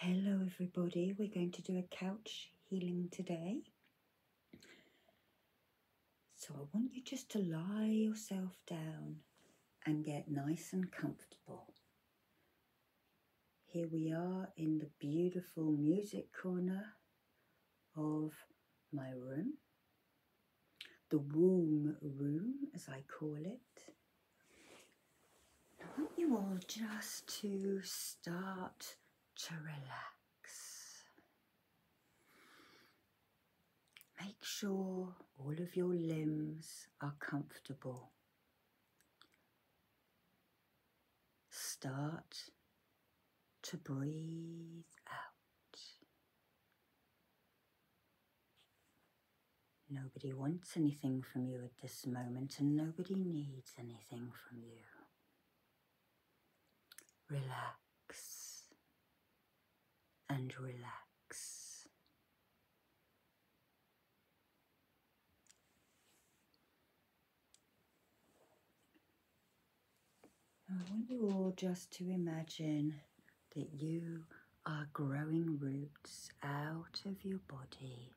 Hello, everybody. We're going to do a couch healing today. So, I want you just to lie yourself down and get nice and comfortable. Here we are in the beautiful music corner of my room the womb room, as I call it. I want you all just to start to relax. Make sure all of your limbs are comfortable. Start to breathe out. Nobody wants anything from you at this moment, and nobody needs anything from you. Relax and relax. I want you all just to imagine that you are growing roots out of your body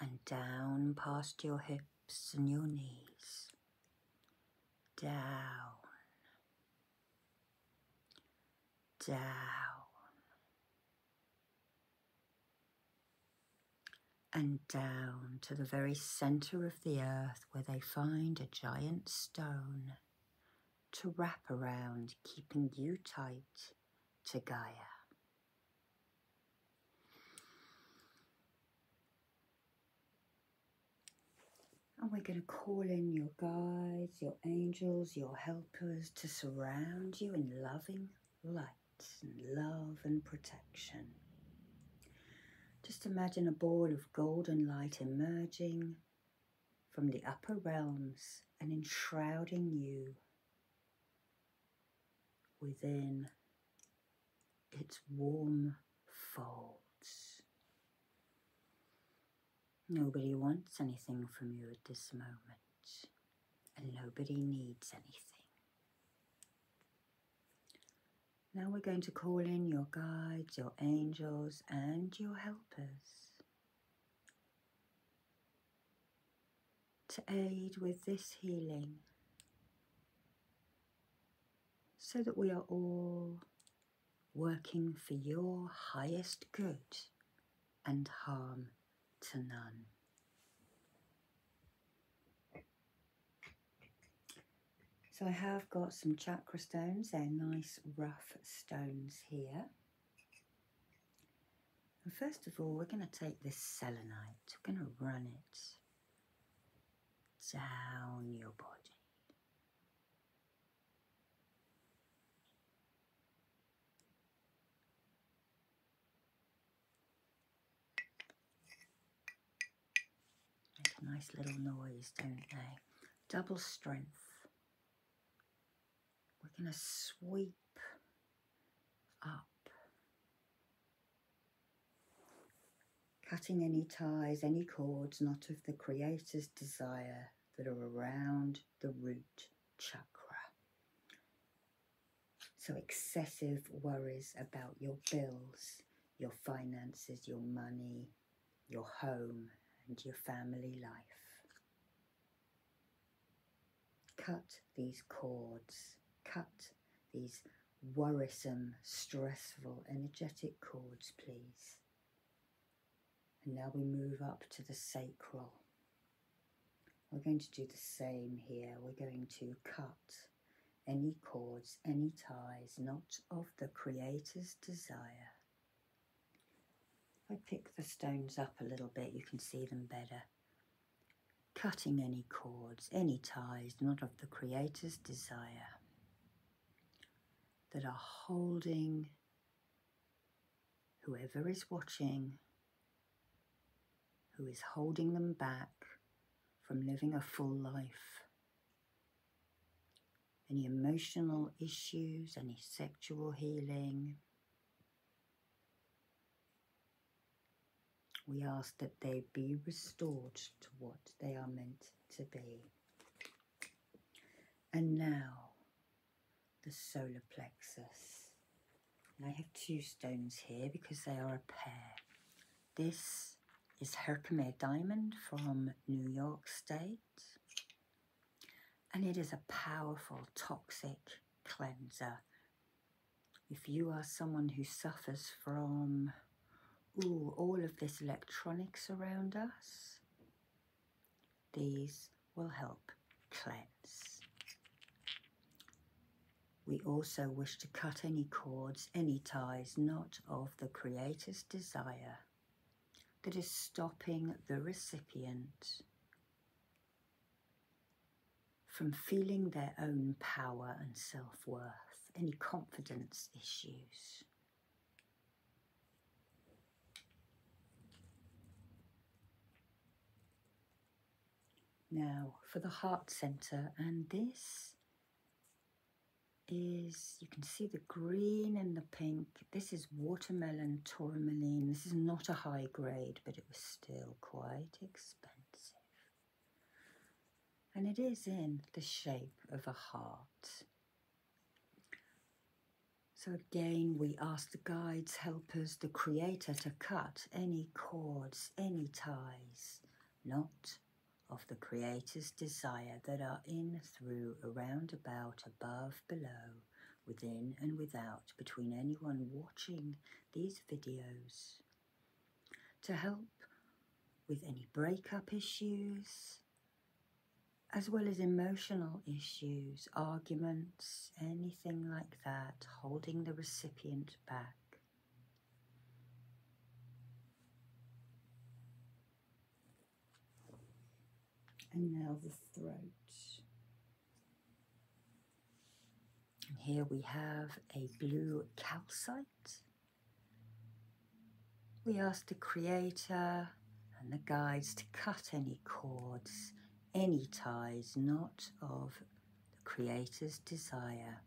and down past your hips and your knees. Down, down, and down to the very centre of the earth where they find a giant stone to wrap around, keeping you tight to Gaia. And we're going to call in your guides, your angels, your helpers to surround you in loving light and love and protection. Just imagine a ball of golden light emerging from the upper realms and enshrouding you within its warm folds. Nobody wants anything from you at this moment, and nobody needs anything. Now we're going to call in your guides, your angels, and your helpers to aid with this healing so that we are all working for your highest good and harm to none. So I have got some chakra stones, they're nice rough stones here. And first of all, we're going to take this selenite, we're going to run it down your body. Make a nice little noise, don't they? Double strength. We're going to sweep up, cutting any ties, any cords not of the Creator's desire that are around the root chakra. So, excessive worries about your bills, your finances, your money, your home and your family life. Cut these cords, cut these worrisome, stressful, energetic cords, please. And now we move up to the sacral. We're going to do the same here. We're going to cut any cords, any ties, not of the Creator's desire if I pick the stones up a little bit, you can see them better. Cutting any cords, any ties, not of the Creator's desire, that are holding whoever is watching, who is holding them back from living a full life any emotional issues, any sexual healing. We ask that they be restored to what they are meant to be. And now, the solar plexus. I have two stones here because they are a pair. This is Herkimer Diamond from New York State. And it is a powerful, toxic cleanser. If you are someone who suffers from ooh, all of this electronics around us, these will help cleanse. We also wish to cut any cords, any ties, not of the Creator's desire that is stopping the recipient from feeling their own power and self worth, any confidence issues. Now for the heart center, and this is you can see the green and the pink this is watermelon tourmaline. This is not a high grade, but it was still quite expensive. And it is in the shape of a heart. So again, we ask the guides, helpers, the creator to cut any cords, any ties, not of the creator's desire that are in, through, around, about, above, below, within and without, between anyone watching these videos. To help with any breakup issues, as well as emotional issues, arguments, anything like that, holding the recipient back. And now the throat. And here we have a blue calcite. We ask the Creator and the guides to cut any cords, any ties not of the Creator's desire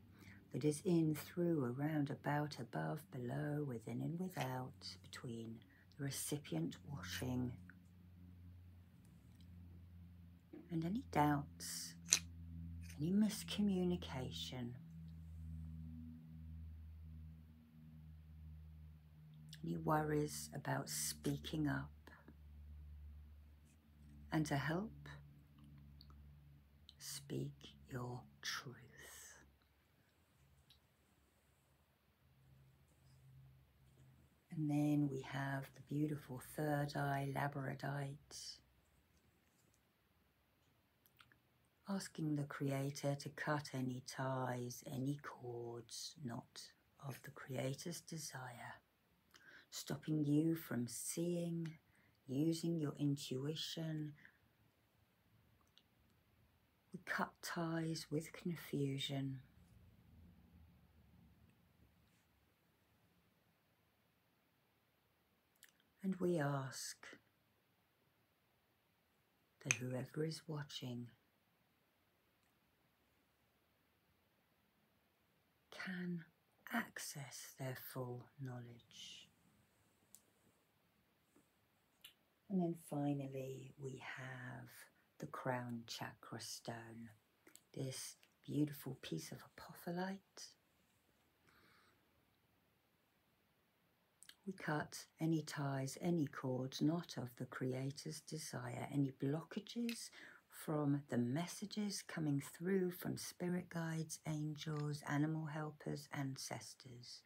that is in, through, around, about, above, below, within and without, between the recipient washing. And any doubts, any miscommunication, any worries about speaking up. And to help, speak your truth. And then we have the beautiful third eye labradorite, asking the Creator to cut any ties, any cords not of the Creator's desire, stopping you from seeing, using your intuition, we cut ties with confusion. And we ask that whoever is watching can access their full knowledge. And then finally, we have the crown chakra stone, this beautiful piece of apophyllite. We cut any ties, any cords not of the Creator's desire, any blockages from the messages coming through from spirit guides, angels, animal helpers, ancestors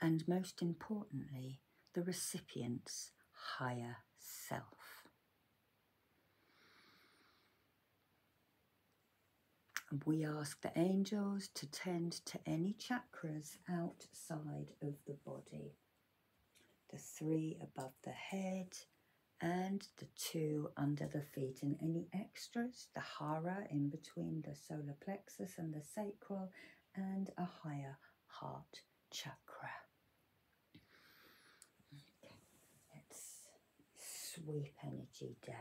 and most importantly, the recipient's higher self. We ask the angels to tend to any chakras outside of the body, the three above the head and the two under the feet and any extras, the hara in between the solar plexus and the sacral and a higher heart chakra. let's sweep energy down.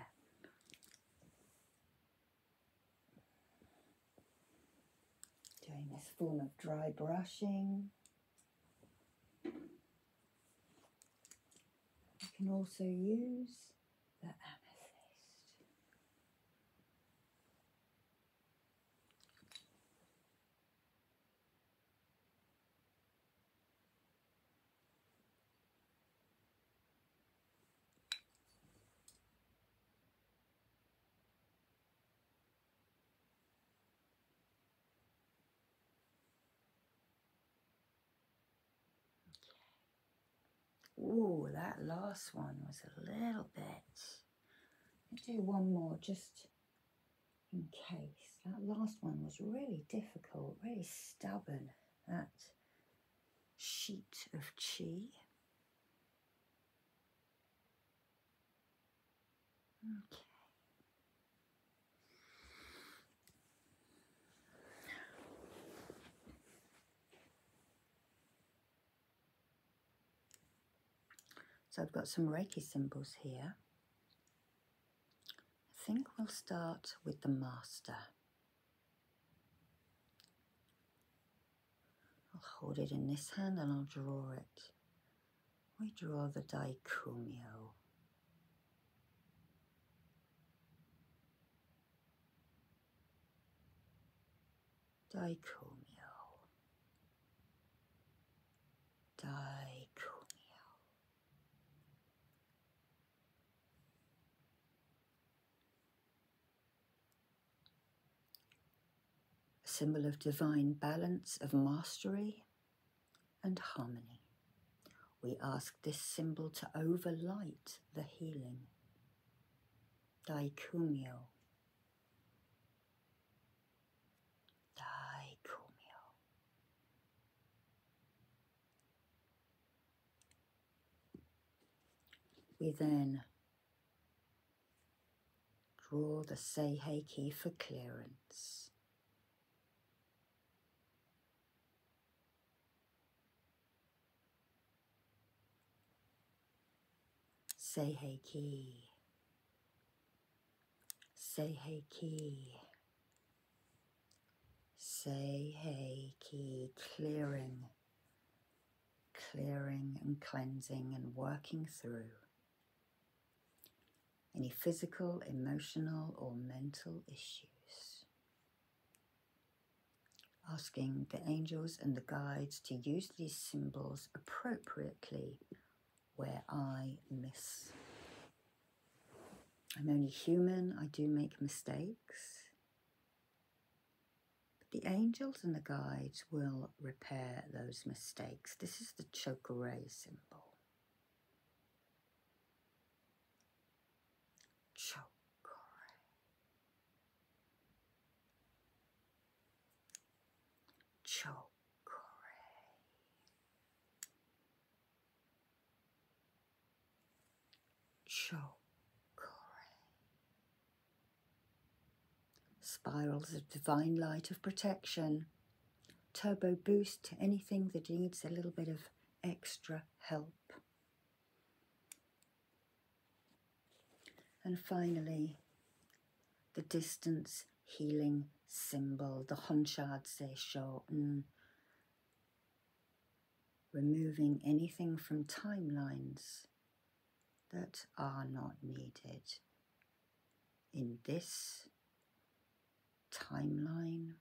Doing this form of dry brushing. You can also use the amethyst. Okay. Oh, that last one was a little bit. do one more just in case. That last one was really difficult, really stubborn. That sheet of chi. Okay. So I've got some Reiki symbols here. I think we'll start with the Master. I'll hold it in this hand and I'll draw it. We draw the Daikumio dichomio, dichomio. A symbol of divine balance, of mastery and harmony. We ask this symbol to overlight the healing Daikumyo. Daikumyo. We then draw the say hey key for clearance. Say hey key. Say hey key. Say hey key. Clearing. Clearing and cleansing and working through any physical, emotional, or mental issues asking the angels and the guides to use these symbols appropriately where I miss. I'm only human, I do make mistakes. the angels and the guides will repair those mistakes. This is the Chokeray symbol. Choke pray. Chokore. Chokore. Spirals of divine light of protection. Turbo boost to anything that needs a little bit of extra help. And finally, the distance healing symbol, the Honchard Seishoten, removing anything from timelines that are not needed in this timeline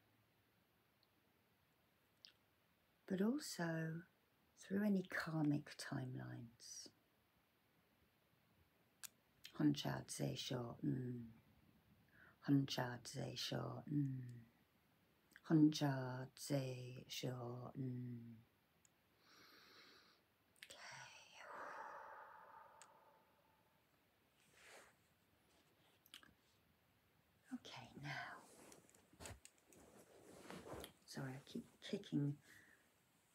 but also through any karmic timelines. Hunchad short. mm. Hunchad Zesho, mm. Hunchad Zesho, mm. Okay, now. Sorry, I keep kicking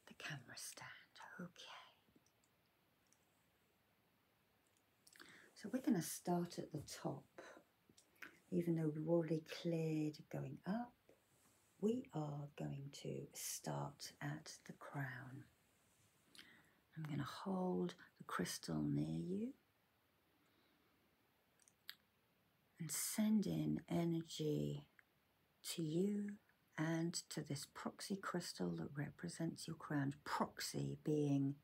the camera stand. Okay. So we're going to start at the top. Even though we've already cleared going up, we are going to start at the crown. I'm going to hold the crystal near you and send in energy to you and to this proxy crystal that represents your crown. Proxy being,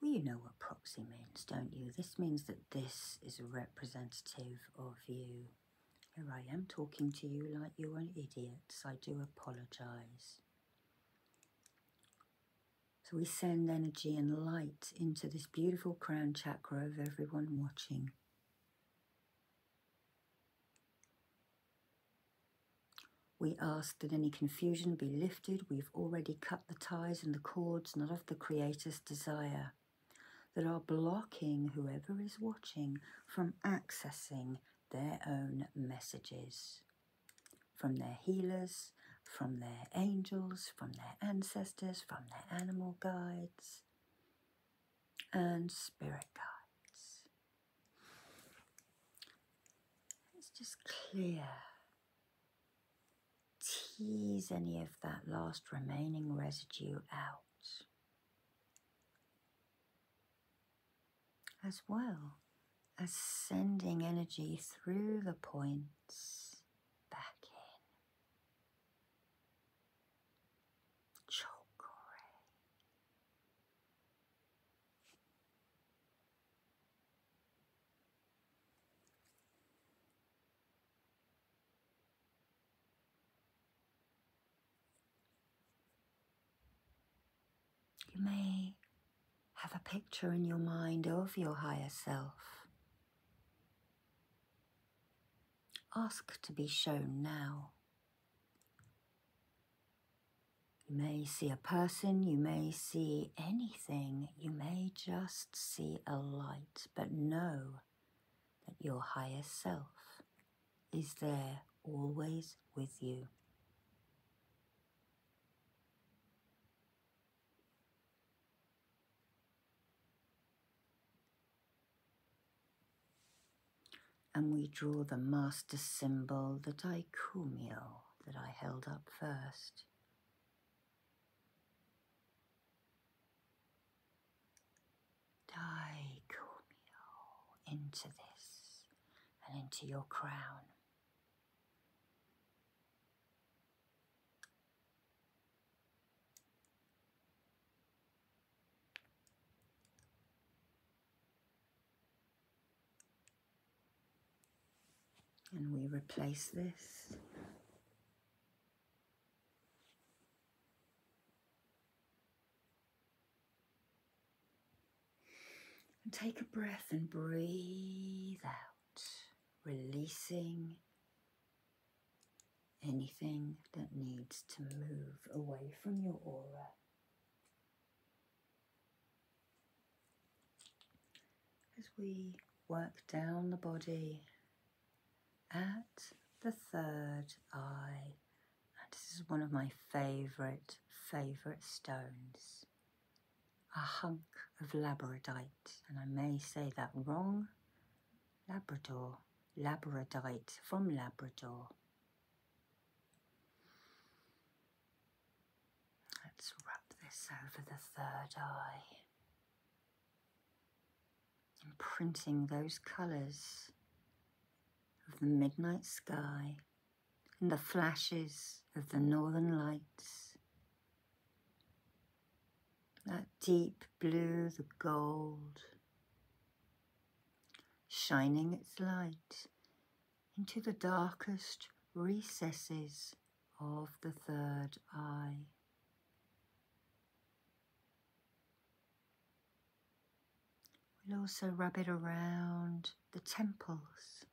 well, you know what proxy means, don't you? This means that this is a representative of you. Here I am talking to you like you're an idiot, I do apologise. So we send energy and light into this beautiful crown chakra of everyone watching. We ask that any confusion be lifted. We've already cut the ties and the cords, not of the Creator's desire, that are blocking whoever is watching from accessing their own messages from their healers, from their angels, from their ancestors, from their animal guides, and spirit guides. Let's just clear, tease any of that last remaining residue out. As well ascending energy through the points back in. You may have a picture in your mind of your higher self. Ask to be shown now. You may see a person, you may see anything, you may just see a light, but know that your higher self is there always with you. And we draw the master symbol, the daikumio that I held up first. Daikumio into this and into your crown and we replace this take a breath and breathe out, releasing anything that needs to move away from your aura. As we work down the body at the third eye, and this is one of my favourite, favourite stones a hunk of labradorite, and I may say that wrong. Labrador, labradorite from Labrador. Let's wrap this over the third eye. Imprinting those colours of the midnight sky and the flashes of the northern lights. That deep blue, the gold, shining its light into the darkest recesses of the third eye. We'll also rub it around the temples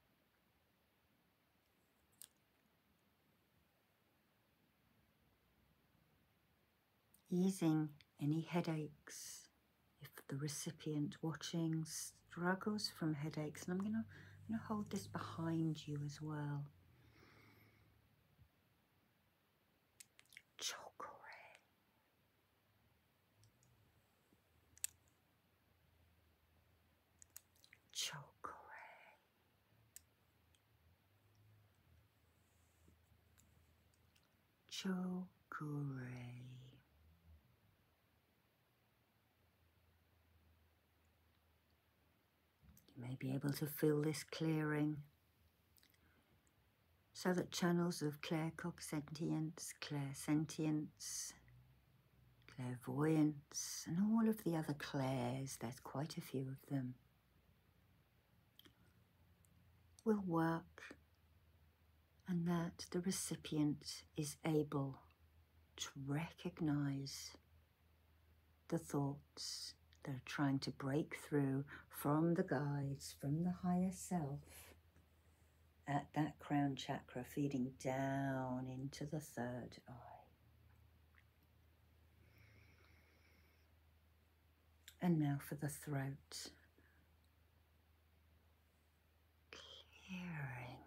Easing any headaches if the recipient watching struggles from headaches. And I'm going to hold this behind you as well. Chocolate chocolate, chocolate, you may be able to feel this clearing so that channels of clear clear sentience clairvoyance, and all of the other clairs, there's quite a few of them, will work and that the recipient is able to recognize the thoughts that are trying to break through from the guides, from the higher self, at that crown chakra, feeding down into the third eye. And now for the throat. Clearing.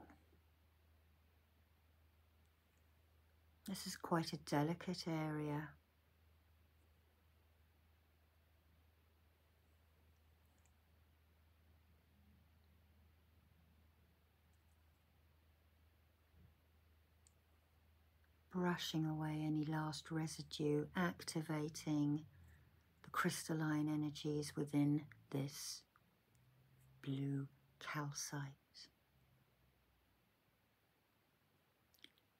This is quite a delicate area. Brushing away any last residue, activating the crystalline energies within this blue calcite.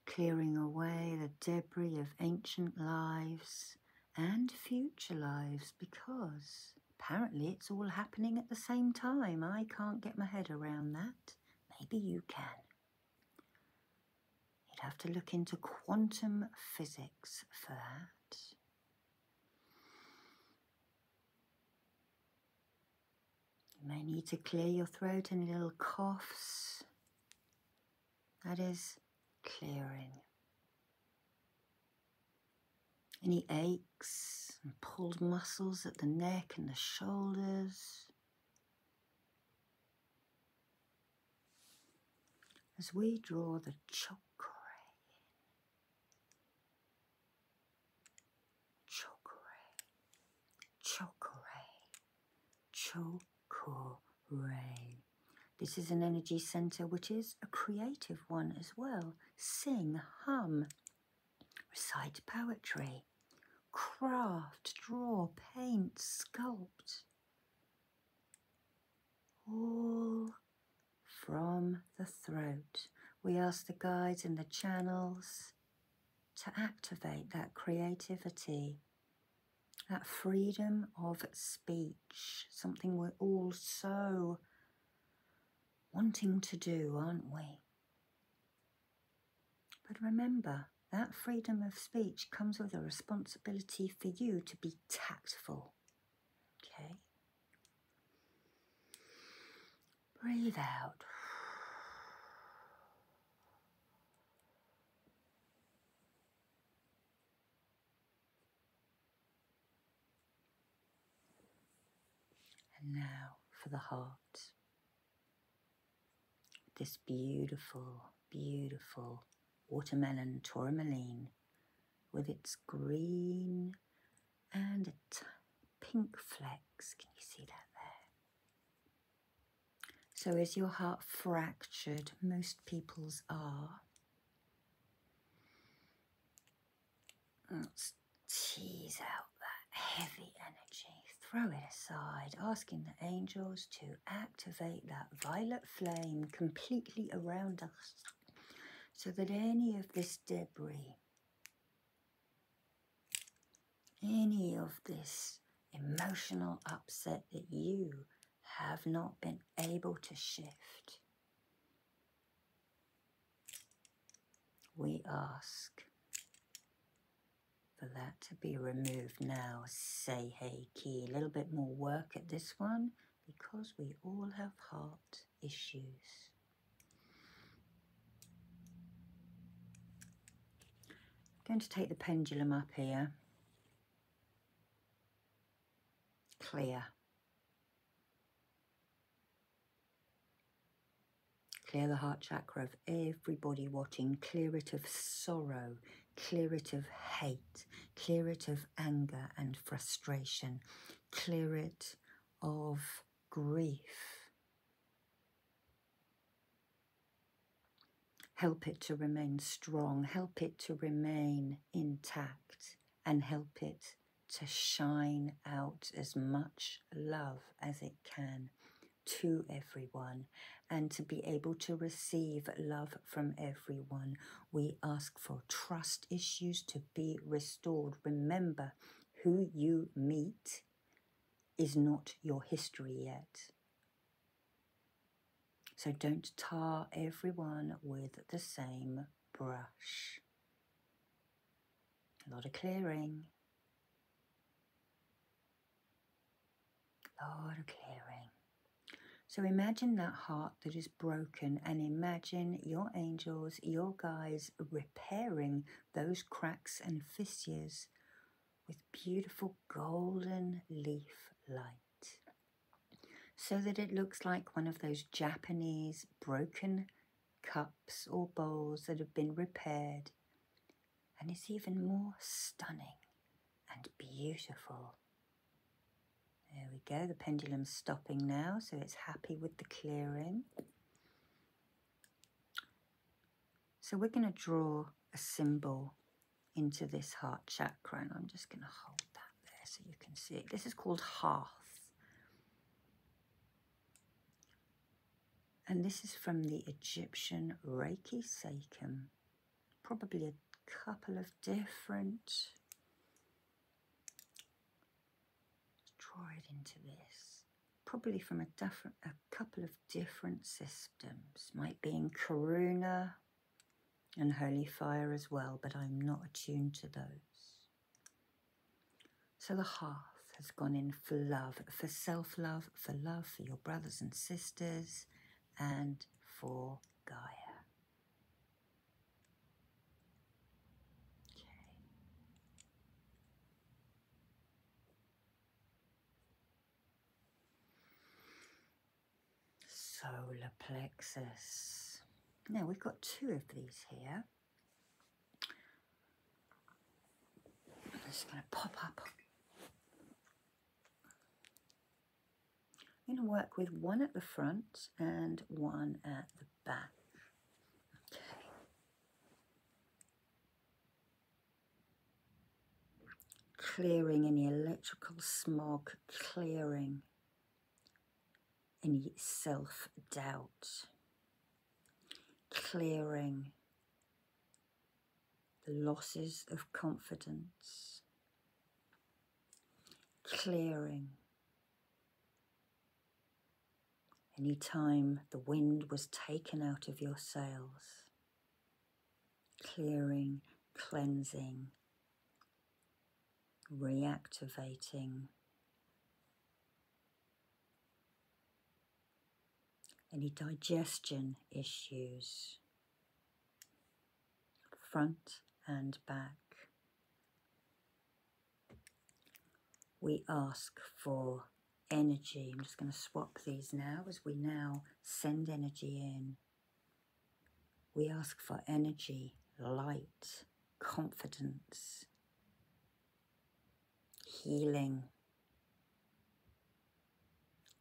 clearing away the debris of ancient lives and future lives because apparently it's all happening at the same time. I can't get my head around that. Maybe you can. You'd have to look into quantum physics for that. You may need to clear your throat and little coughs. That is clearing. Any aches and pulled muscles at the neck and the shoulders. As we draw the chakra chakra, chakra, chakra. This is an energy center which is a creative one as well. Sing, hum, recite poetry, craft, draw, paint, sculpt. All from the throat. We ask the guides and the channels to activate that creativity, that freedom of speech, something we're all so wanting to do, aren't we? But remember, that freedom of speech comes with a responsibility for you to be tactful. Okay? Breathe out. And now for the heart. This beautiful, beautiful watermelon tourmaline with its green and pink flecks. Can you see that there? So is your heart fractured? Most people's are. Let's tease out that heavy energy, throw it aside, asking the angels to activate that violet flame completely around us so that any of this debris, any of this emotional upset that you have not been able to shift we ask for that to be removed now. Say hey key. A little bit more work at this one because we all have heart issues. I'm going to take the pendulum up here. Clear. Clear the heart chakra of everybody watching. Clear it of sorrow. Clear it of hate. Clear it of anger and frustration. Clear it of grief. Help it to remain strong. Help it to remain intact and help it to shine out as much love as it can to everyone and to be able to receive love from everyone. We ask for trust issues to be restored. Remember, who you meet is not your history yet. So don't tar everyone with the same brush. A lot of clearing. A lot of clearing. So imagine that heart that is broken and imagine your angels, your guides repairing those cracks and fissures with beautiful golden leaf light so that it looks like one of those Japanese broken cups or bowls that have been repaired and it's even more stunning and beautiful. There we go, the pendulum's stopping now, so it's happy with the clearing. So we're going to draw a symbol into this heart chakra, and I'm just going to hold that there so you can see This is called Hearth. And this is from the Egyptian Reiki Sachem. Probably a couple of different. Draw it into this. Probably from a, different, a couple of different systems. Might be in Karuna, and holy fire as well, but I'm not attuned to those. So the hearth has gone in for love, for self love, for love for your brothers and sisters, and for Gaia. Okay solar plexus. Now we've got two of these here. I'm just going to pop up. I'm going to work with one at the front and one at the back. Okay. Clearing any electrical smog, clearing any self doubt, clearing the losses of confidence, clearing any time the wind was taken out of your sails, clearing, cleansing reactivating any digestion issues, front and back. We ask for energy. I'm just going to swap these now as we now send energy in. We ask for energy, light, confidence, healing,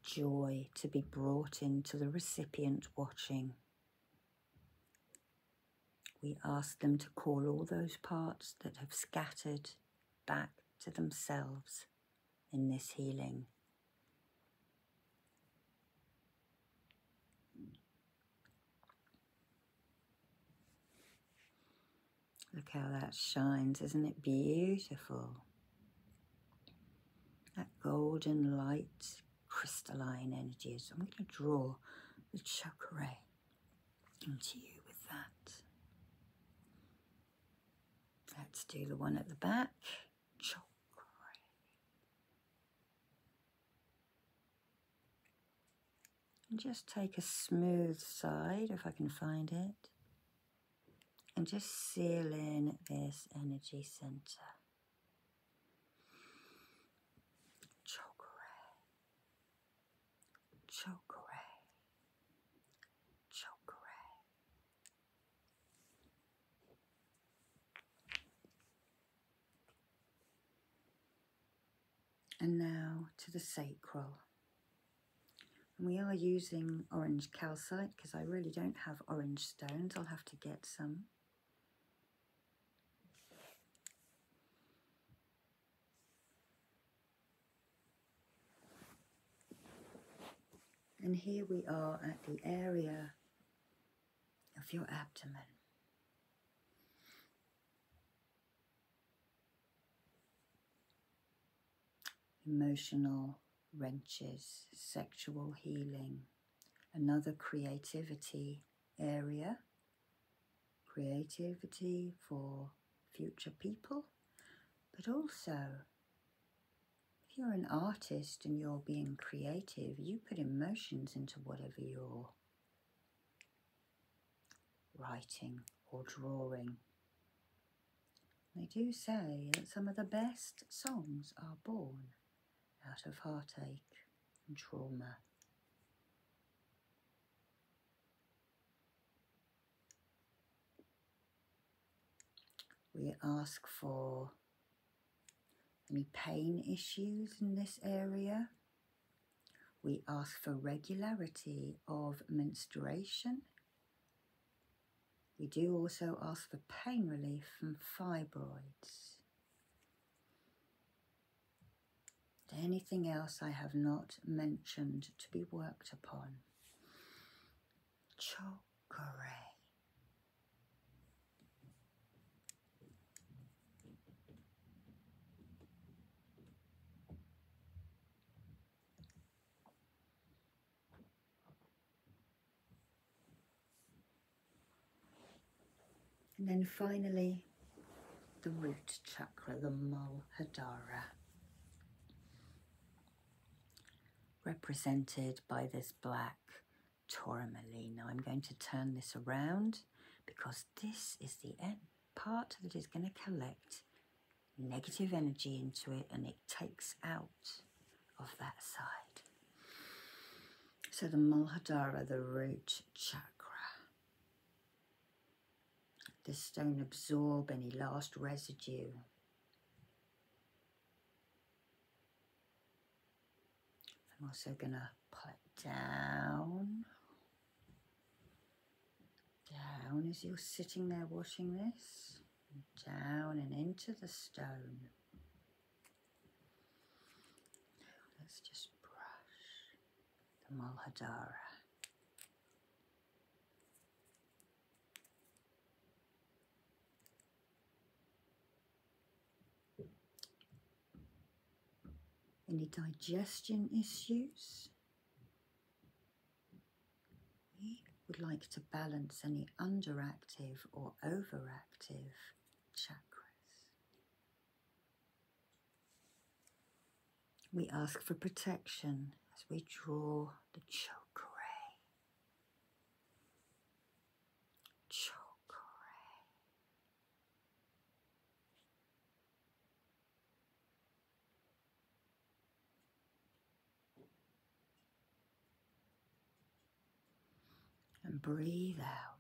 joy to be brought into the recipient watching. We ask them to call all those parts that have scattered back to themselves in this healing Look how that shines, isn't it beautiful? That golden light, crystalline energy. I'm going to draw the chakra onto you with that. Let's do the one at the back. And just take a smooth side, if I can find it, and just seal in this energy center. Chokore, chokore, chokore, and now to the sacral. we are using orange calcite because I really don't have orange stones. I'll have to get some. And here we are at the area of your abdomen. Emotional wrenches, sexual healing, another creativity area, creativity for future people, but also if you're an artist and you're being creative, you put emotions into whatever you're writing or drawing. They do say that some of the best songs are born out of heartache and trauma. We ask for any pain issues in this area. We ask for regularity of menstruation. We do also ask for pain relief from fibroids. Anything else I have not mentioned to be worked upon? Chokeray. And then finally, the root chakra, the Mulhadara, represented by this black tourmaline. Now I'm going to turn this around because this is the part that is going to collect negative energy into it and it takes out of that side. So the Mulhadara, the root chakra. The stone absorb any last residue I'm also going to put down, down as you're sitting there watching this, down and into the stone. let's just brush the Mulhadara. Any digestion issues? We would like to balance any underactive or overactive chakras. We ask for protection as we draw the chakra. Chokeray. And breathe out.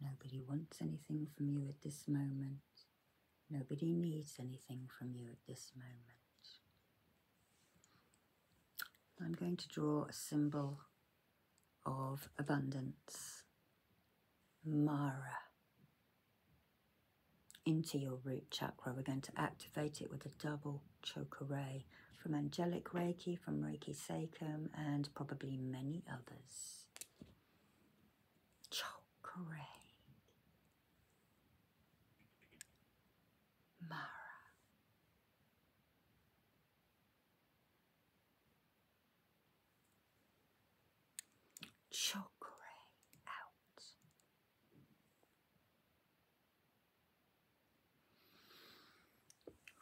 Nobody wants anything from you at this moment. Nobody needs anything from you at this moment. I'm going to draw a symbol of abundance. Mara. Into your root chakra. We're going to activate it with a double chakra ray from Angelic Reiki, from Reiki Sacrum, and probably many others. Choker ray. Mara. Chokre out.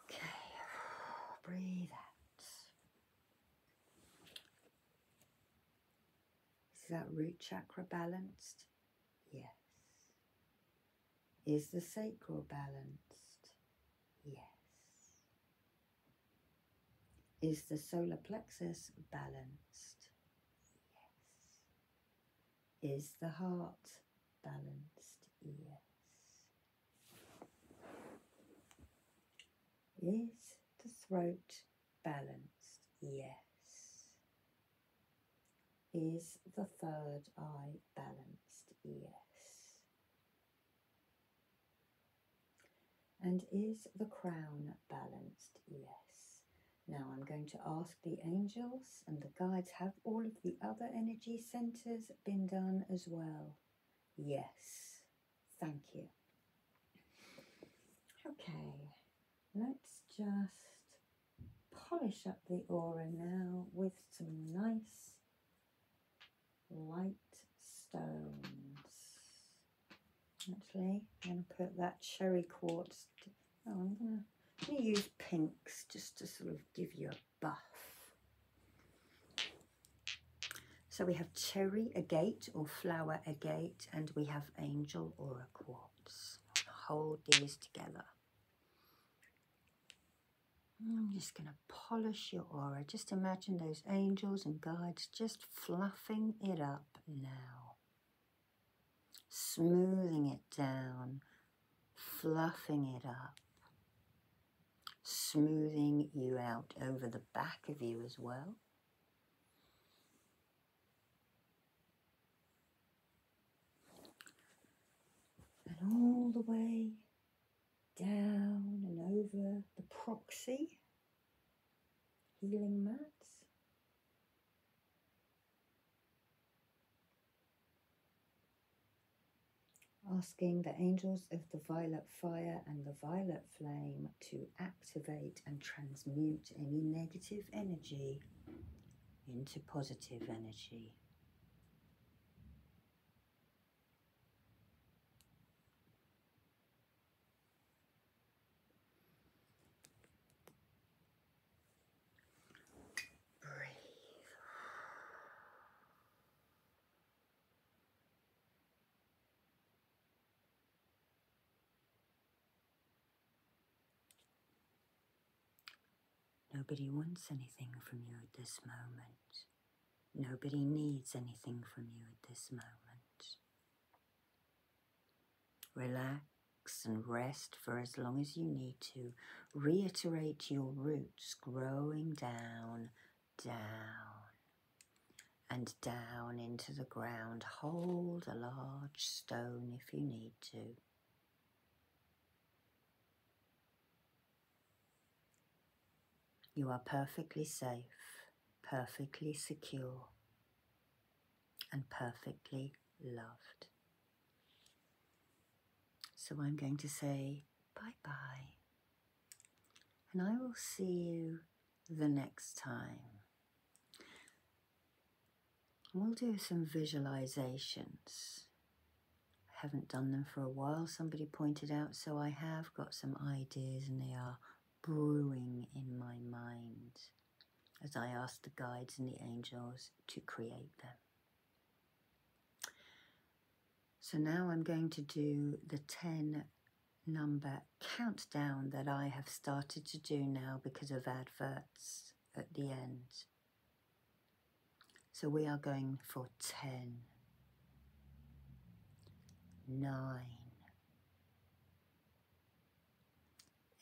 Okay, breathe out. Is that root chakra balanced? Yes. Is the sacral balanced? Yes. Is the solar plexus balanced? Yes. Is the heart balanced? Yes. Is the throat balanced? Yes. Is the third eye balanced? Yes. And is the crown balanced? Yes. Now I'm going to ask the angels and the guides have all of the other energy centers been done as well? Yes. Thank you. Okay, let's just polish up the aura now with some nice light stones. Actually, I'm going to put that cherry quartz. Oh, I'm going to, I'm use pinks just to sort of give you a buff. So we have cherry agate or flower agate and we have angel aura quartz. Hold these together. I'm just going to polish your aura. Just imagine those angels and guides just fluffing it up now. Smoothing it down, fluffing it up, smoothing you out over the back of you as well. And all the way down and over the proxy healing mats. asking the angels of the violet fire and the violet flame to activate and transmute any negative energy into positive energy. Nobody wants anything from you at this moment. Nobody needs anything from you at this moment. Relax and rest for as long as you need to. Reiterate your roots growing down, down, and down into the ground. Hold a large stone if you need to. You are perfectly safe, perfectly secure, and perfectly loved. So I'm going to say bye bye, and I will see you the next time. We'll do some visualizations. I haven't done them for a while, somebody pointed out, so I have got some ideas and they are brewing in my mind as I ask the guides and the angels to create them. So now I'm going to do the 10 number countdown that I have started to do now because of adverts at the end. So we are going for ten, nine,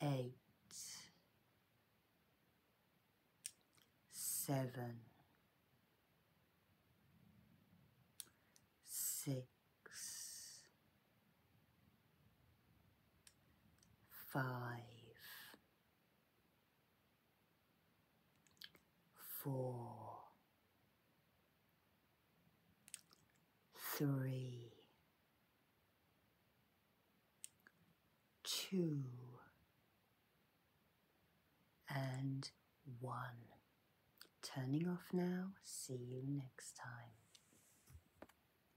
eight, seven, six five, four, three, two, and one. Turning off now. See you next time.